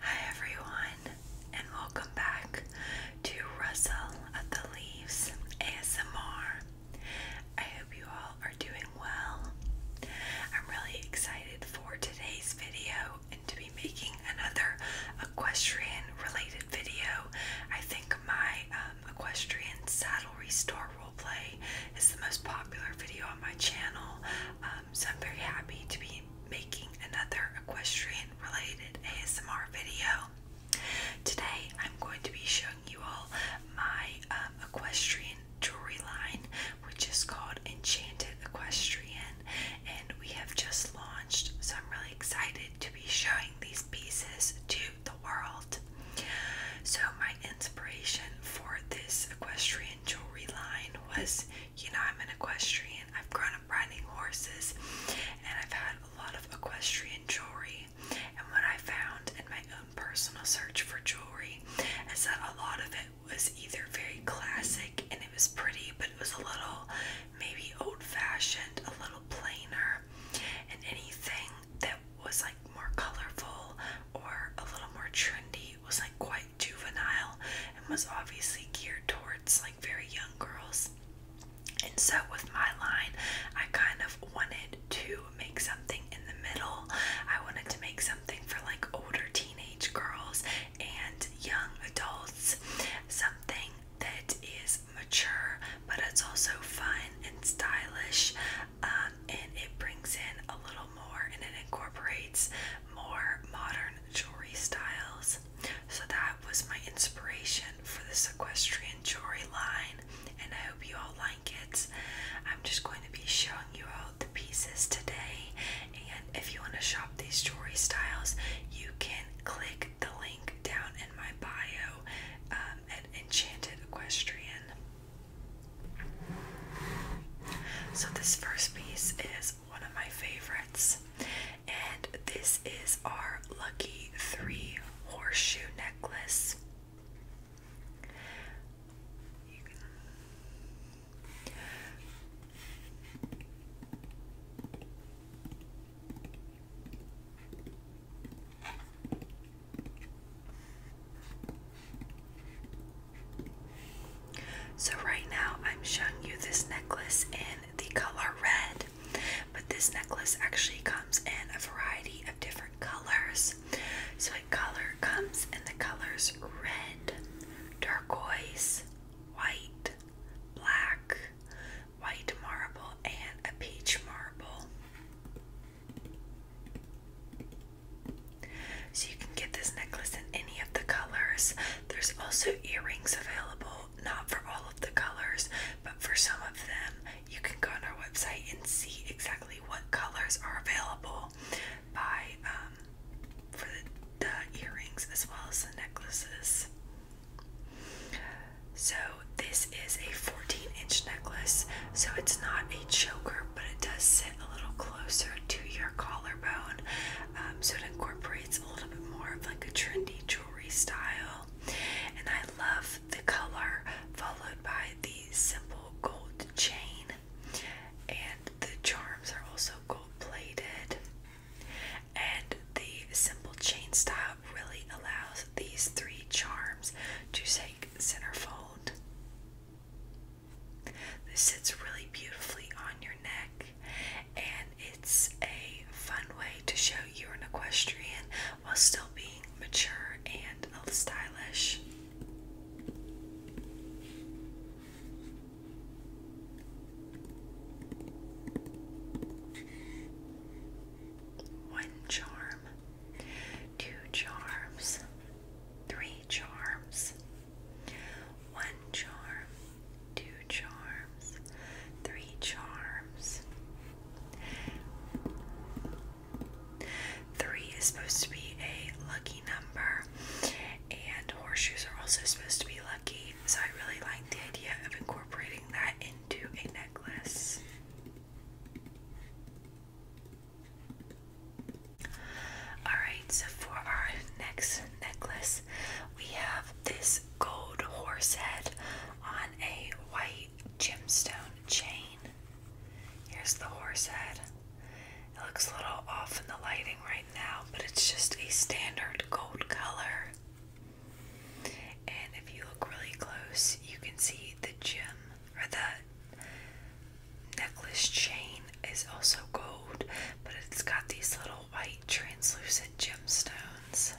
Hi everyone, and welcome back to Russell of the Leaves ASMR. I hope you all are doing well. I'm really excited for today's video and to be making another equestrian related video. I think my um, equestrian saddle restore roleplay is the most popular video on my channel. Um, um, so I'm very happy to be making another equestrian related ASMR video. Today I'm going to be showing you all my um, equestrian jewelry line, which is called Enchanted Equestrian, and we have just launched, so I'm really excited to be showing these pieces to the world. So, my inspiration for this equestrian jewelry line was you know, I'm an equestrian. I've grown up riding horses and I've had a lot of equestrian jewelry. And what I found in my own personal search for jewelry is that a lot of it was either very classic and it was pretty, but it was a little maybe old fashioned, a little plainer, and anything that was like more colorful or a little more trendy was like quite juvenile and was obviously geared towards like very young girls. And so with my line, I kind of wanted to make something in the middle. I wanted to make something for like older teenage girls and young adults, something that is mature, but it's also fun and stylish, um, and it brings in a little more and it incorporates more modern jewelry styles. So that was my inspiration for this equestrian jewelry line and I hope you all like it. I'm just going to be showing you all the pieces today and if you want to shop these jewelry styles you can click the link down in my bio um, at Enchanted Equestrian. So this first piece is one of my favorites. And this is our Lucky 3 horseshoe necklace. So, right now, I'm showing you this necklace in the color red, but this necklace actually comes in a variety of different colors. So, it color comes in the colors red, turquoise, white, black, white marble, and a peach marble. So you can get this necklace in any of the colors. There's also earrings available, not for all of the colors, but for some of them. You can go on our website and see exactly what colors are available by um, for the earrings as well as the necklaces. So this is a 14 inch necklace, so it's not a choker but it does sit a little closer to your collarbone. Um, so it incorporates a little bit more of like a trendy jewelry style. And I love the color followed by the simple gold chain. And the charms are also gold plated. And the simple chain style really allows these three charms to take centerfold. This sits really beautifully on your neck, and it's a fun way to show you're an equestrian while still being mature and stylish. One charm, two charms, three charms, one charm, two charms, three charms. Three is supposed to be a lucky number, and horseshoes are also supposed to be lucky. So I really like the idea of incorporating that into a necklace. Alright, so for our next necklace, we have this gold horse head on a white gemstone chain. Here's the horse head. It looks a little off in the lighting right now, but it's just a standard gold color. And if you look really close, you can see the gem or the necklace chain is also gold, but it's got these little white translucent gemstones.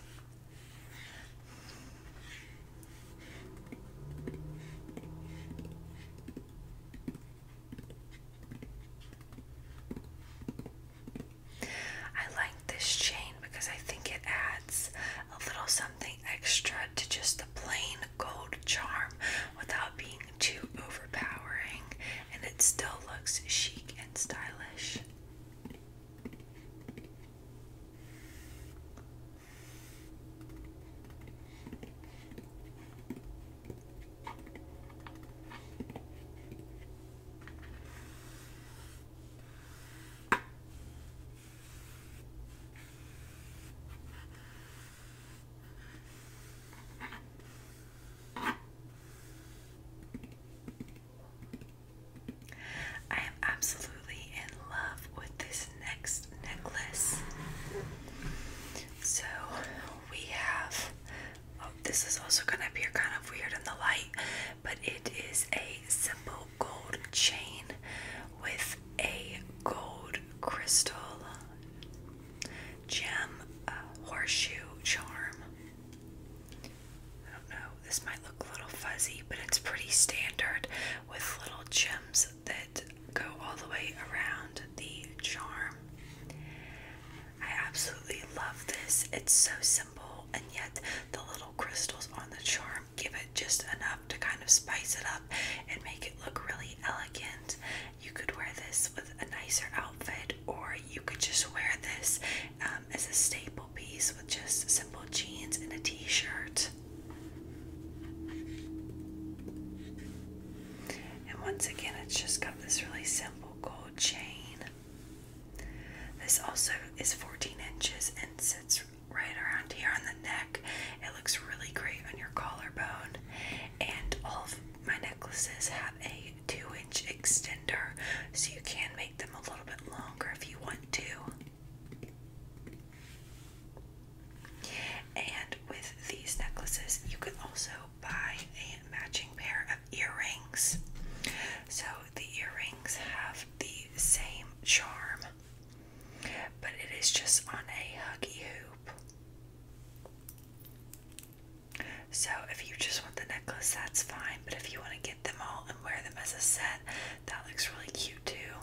I like this chain because I think it adds a little something extra to just the plain gold charm without being too overpowering, and it still looks chic and stylish. I am absolutely in love with this next necklace. So we have, oh, this is also going to appear kind of weird in the light, but it is a simple gold chain with a gold crystal gem uh, horseshoe charm. I don't know, this might look a little fuzzy, but it's pretty standard with little gems that go all the way around the charm. I absolutely love this. It's so simple, and yet the little crystals on the charm give it just enough to kind of spice it up and make it look really elegant you could wear this with a nicer outfit, or you could just wear this um, as a staple piece with just simple jeans and a t shirt. And once again, it's just got this really simple gold chain. This also is 14 inches and sits right around here on the neck. It looks really great on your collarbone, and all of my necklaces have a two inch extender, so you can make them a little bit longer if you want to. And with these necklaces, you can also buy a matching pair of earrings. So the earrings have the same charm, but it is just on a huggy hoop. So, if you just want the necklace, that's fine, but if you want to get them all and wear them as a set, that looks really cute too.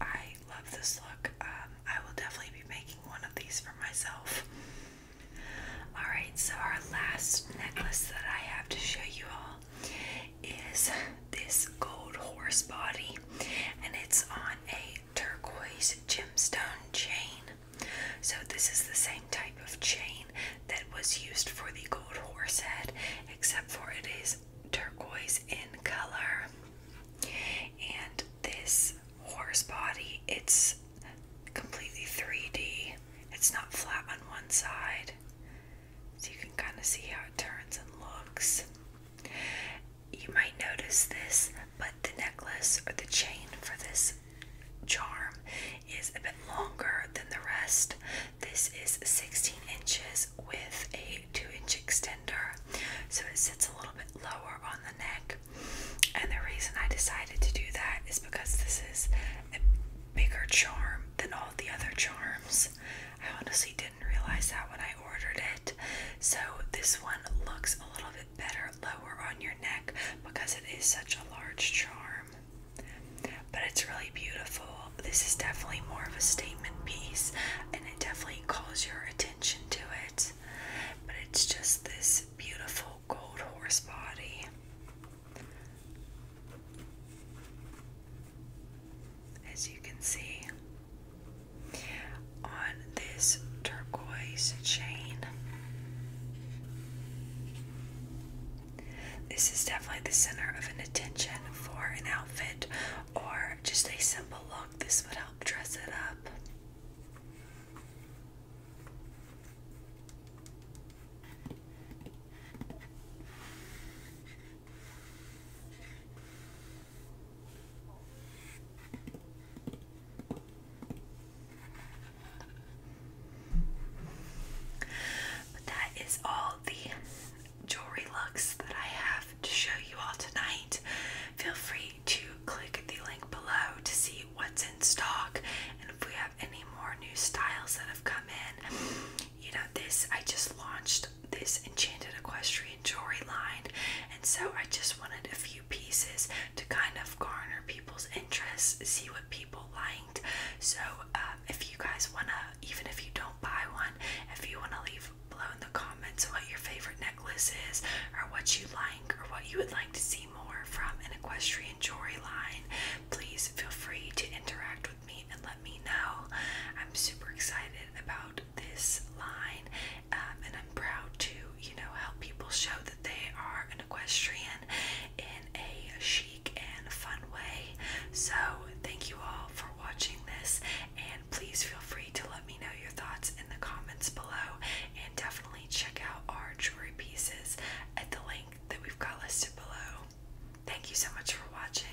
I love this look. Um, I will definitely be making one of these for myself. Alright, so our last necklace that I have to show you all is this gold horse body, and it's on a turquoise gemstone chain. So, this is the same type of chain that was used for the gold horse head, except for it is turquoise in color. And this horse body, it's completely 3D, it's not flat on one side. So, you can kind of see how it turns and looks. You might notice this, but the necklace or the chain for this charm is a bit longer than the rest. This is 16 inches with a 2 inch extender, so it sits a little bit lower on the neck. And the reason I decided to do that is because this is a bigger charm than all the other charms. I honestly didn't realize that when I ordered it. So this one looks a little bit better lower on your neck because it is such a large charm. But it's really beautiful. This is definitely more of a statement piece and it definitely calls your attention to it. But it's just this beautiful gold horse body as you can see on this turquoise chain. This is definitely the center of an attention for an outfit or just a simple look. This would help dress it up. But that is all the jewelry looks that I have to show you all tonight. Feel free to click the link below to see what's in stock and if we have any more new styles that have come in. You know, this I just launched this enchanted equestrian jewelry line, and so I just wanted a few pieces to kind of garner people's interest, see what people liked. So, um, if you guys want to, even if you don't buy one, if you want to leave below in the comments what your favorite necklace is, or what you like, or what you would like to see more from an equestrian jewelry line, please feel free to interact with me and let me know. I'm super excited about this line, um, and I'm proud to, you know, help people show that they are an equestrian in a chic and fun way. So, thank you all for watching this, and please feel free to let me know your thoughts in the comments below, and definitely check out our jewelry pieces at the link that we've got listed below. Thank you so much for watching.